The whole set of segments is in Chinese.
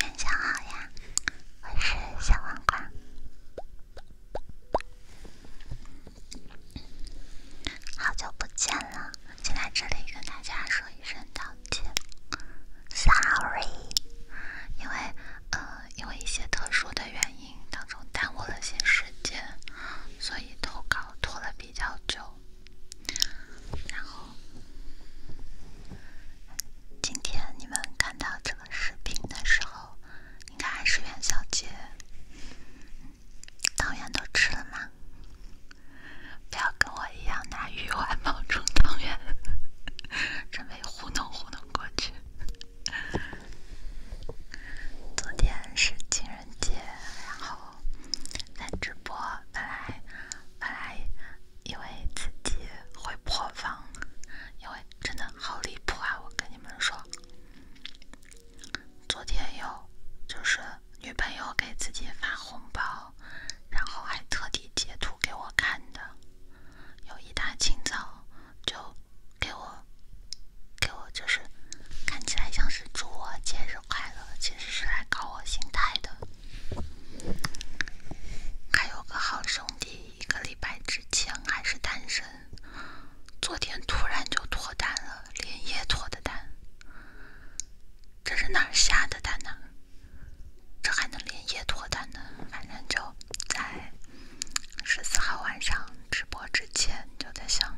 元宵好呀，我是小黄瓜，好久不见了，进来这里跟大家说一声道歉，sorry，因为呃，因为一些特殊的原因当中耽误了些时间，所以投稿拖了比较久。然后，今天你们看到这个视频的时候，应该还是元宵节，汤圆都吃了吗？不要跟我一样拿鱼丸冒充汤圆，准 备糊弄糊弄过去。昨天是今日。人节，然后在直播本来本来以为自己会破防，因为真的好离谱啊！我跟你们说，昨天有就是女朋友给自己发红包，然后还特地截图给我看的，有一大清早就给我给我就是。看起来像是祝我节日快乐，其实是来搞我心态的。还有个好兄弟，一个礼拜之前还是单身，昨天突然就脱单了，连夜脱的单。这是哪儿下的单呢？这还能连夜脱单呢？反正就在十四号晚上直播之前，就在想。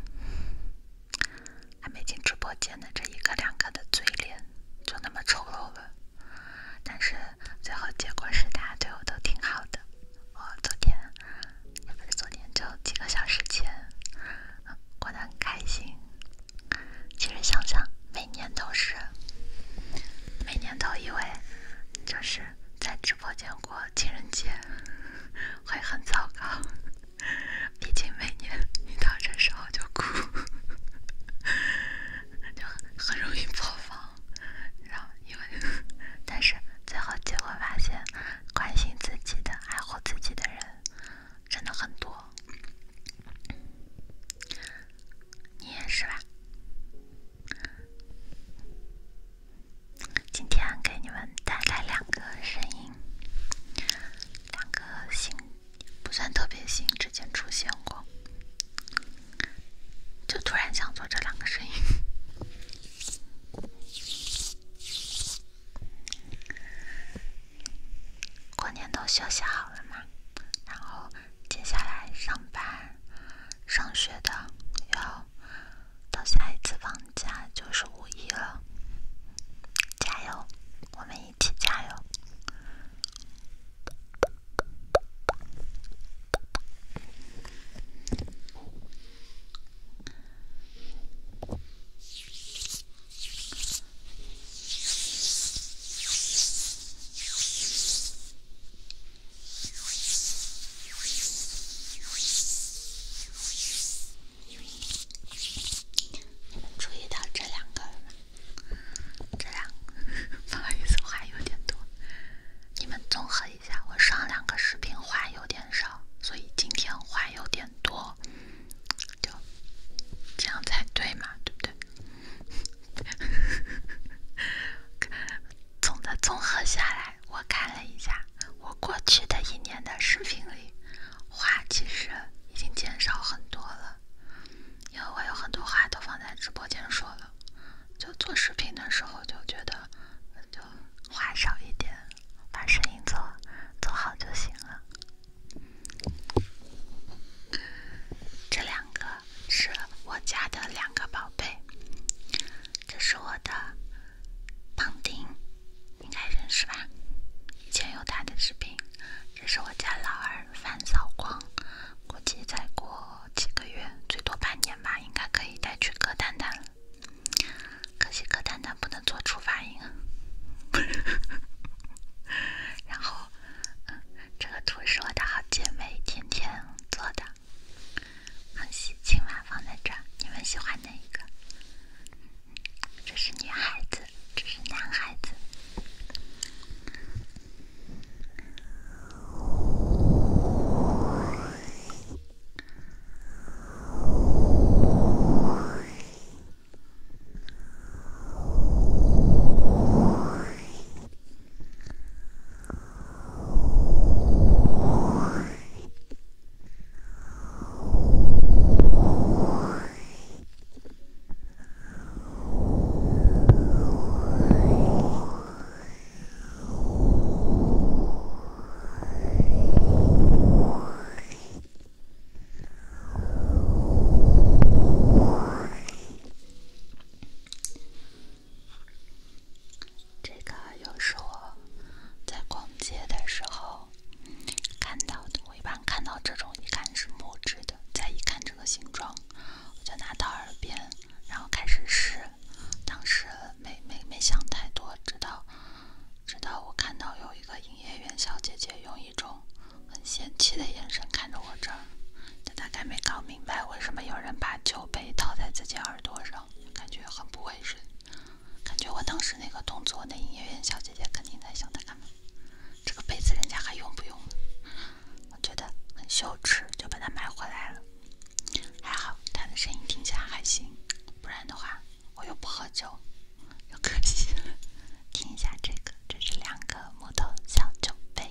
还没进直播间的这一个两个的嘴脸就那么丑陋了，但是最后结果是大家对我都挺好的。我昨天也不是昨天就几个小时前过得很开心。其实想想，每年都是每年都以为就是在直播间过情人节会很糟糕。毕竟每年一到这时候就哭，就很很容易破防。然后因为，但是最后结果发现，关心自己的、爱护自己的人真的很多。你也是吧？今天给你们带来两个声音。两个星不算特别星之前出现过，就突然想做这两个声音。过年都休息好了吗？然后接下来上班、上学的要到下一次放。家就是五一了，加油，我们一起加油。注意到这两个了吗？这两个，不好意思，话有点多。你们综合一下，我上两个视频话有点少，所以今天话有点多，就这样才对嘛，对不对？哈 总的综合下来，我看了一下我过去的一年的视频里。话其实已经减少很多了，因为我有很多话都放在直播间说了。就做视频的时候，就觉得就话少一点，把声音做做好就行了。这两个是我家的两个宝贝，这是我的。胖丁应该认识吧，以前有他的视频。这是我家老二范扫光，估计再过几个月，最多半年吧，应该可以带去割蛋蛋可惜割蛋蛋不能做出发音。然后这个图是我的好姐妹天天做的，很喜庆嘛，放在这儿。你们喜欢哪一个？这是女孩子，这是男孩子。这个又是我在逛。接的时候看到的，我一般看到这种，一看是木质的，再一看这个形状，我就拿到耳边，然后开始试。当时没没没想太多，直到直到我看到有一个营业员小姐姐用一种很嫌弃的眼神看着我这儿，她大概没搞明白为什么有人把酒杯套在自己耳朵上，感觉很不卫生。感觉我当时那个动作，那营业员小姐姐肯定在想他干嘛？这个杯子人家还用不用？我觉得很羞耻，就把它买回来了。还好他的声音听起来还行，不然的话我又不喝酒，又可惜了。听一下这个，这是两个木头小酒杯。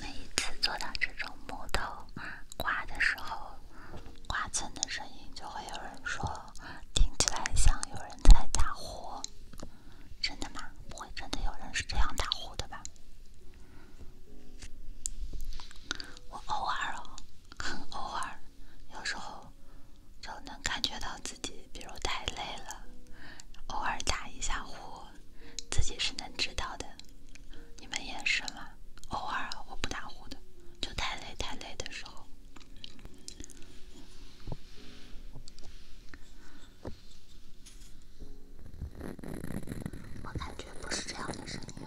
每一次做到这种木头刮的时候，刮蹭的声音，就会有人说。听起来像有人在打呼，真的吗？不会真的有人是这样打呼的吧？我偶尔，哦，很 偶尔，有时候就能感觉到自己，比如太累了，偶尔打一下呼，自己是能知道的。你们也是吗？偶尔我不打呼的，就太累太累的时候。我感觉不是这样的声音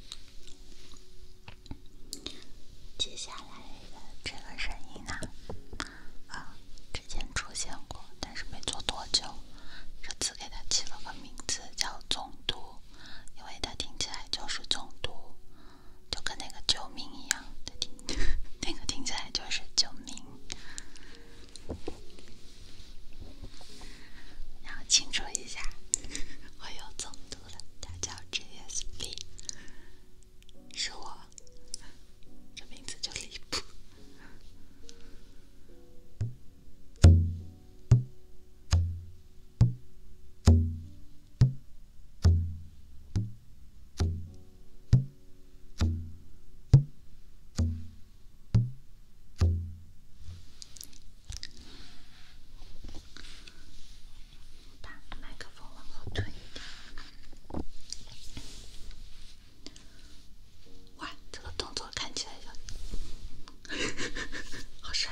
接下来的这个声音呢，啊，之前出现过，但是没做多久。这次给它起了个名字叫“总督”，因为它听起来就是总督，就跟那个救命一样，听，那个听起来就是救命。然后庆祝一下，我又中毒了。他叫 JSP，是我，这名字就离谱。把麦克风往后推一点。哇，这个动作看起来好帅！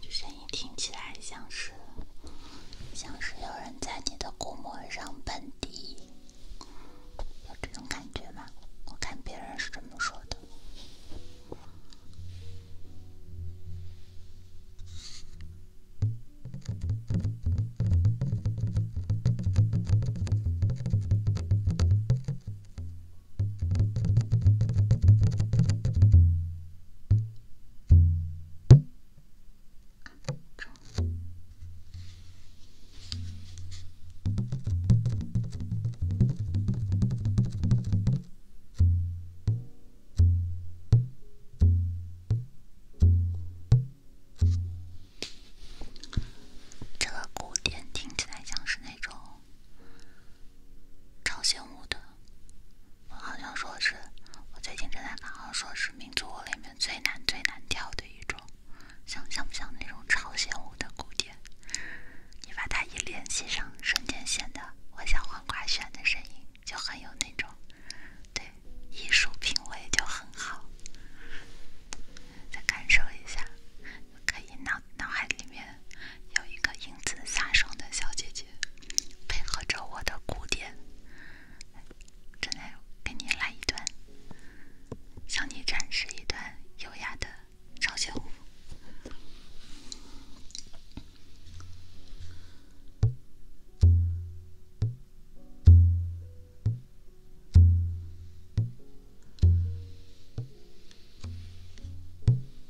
这声音听起来像是像是有人在你的骨膜上蹦迪，有这种感觉吗？我看别人是这么说的。这个鼓点听起来像是那种。朝鲜舞的，我好像说是，我最近正在看，好像说是民族舞里面最难、最难跳的一种。像像不像那种朝鲜舞的鼓点，你把它一联系上，瞬间显得我像黄瓜旋的声音就很有那种，对，艺术品味就很好。再感受一下，可以脑脑海里面有一个英姿飒爽的小姐姐。配合着我的鼓点，再来给您来一段，向你展示一段优雅的朝鲜舞。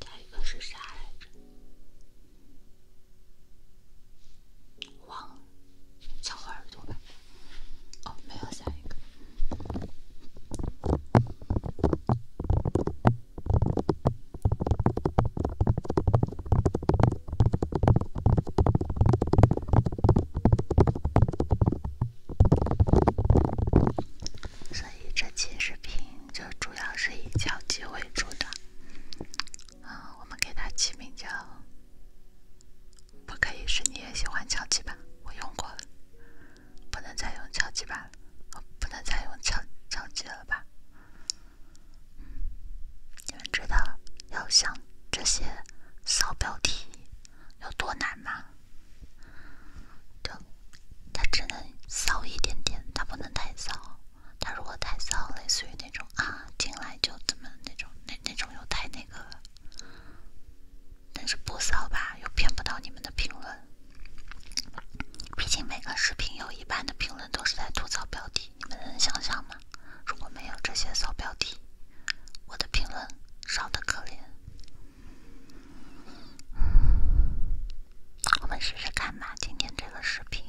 下一个是啥来着？忘了，小耳朵吧。哦，没有下一个。所以这期视频就主要是以敲击为主的，嗯，我们给它起名叫“不可以是你也喜欢敲击吧”，我用过，了，不能再用敲击吧，我不能再用敲敲击了吧？你们知道要想这些骚标题有多难吗？就，它只能骚一点点，它不能太骚。它如果太骚，类似于那种啊进来就怎么那种，那那种又太那个了。但是不骚吧，又骗不到你们的评论。毕竟每个视频有一半的评论都是在吐槽标题，你们能想象吗？如果没有这些骚标题，我的评论少得可怜。我们试试看吧，今天这个视频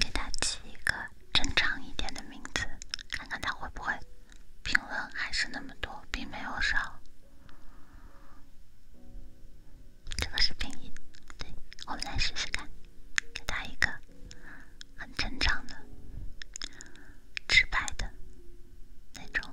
给它起一个正常一点的名字，看看它会不会评论还是那么多，并没有少。这个视频一，对，我们来试试看，给它一个很正常的、直白的那种。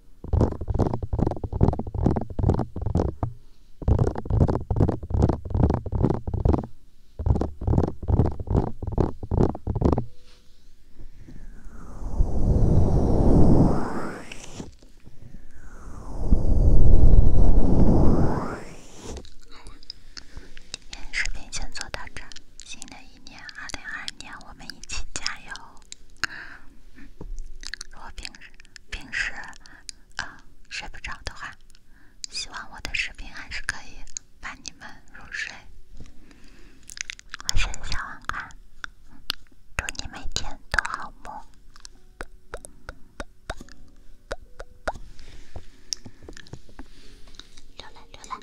短视频写作大战，新的一年二零二二年，我们一起加油！如果平平时啊睡不着的话，希望我的视频还是可以帮你们入睡。晚安，小黄鸭，祝你每天都好梦。溜了溜了。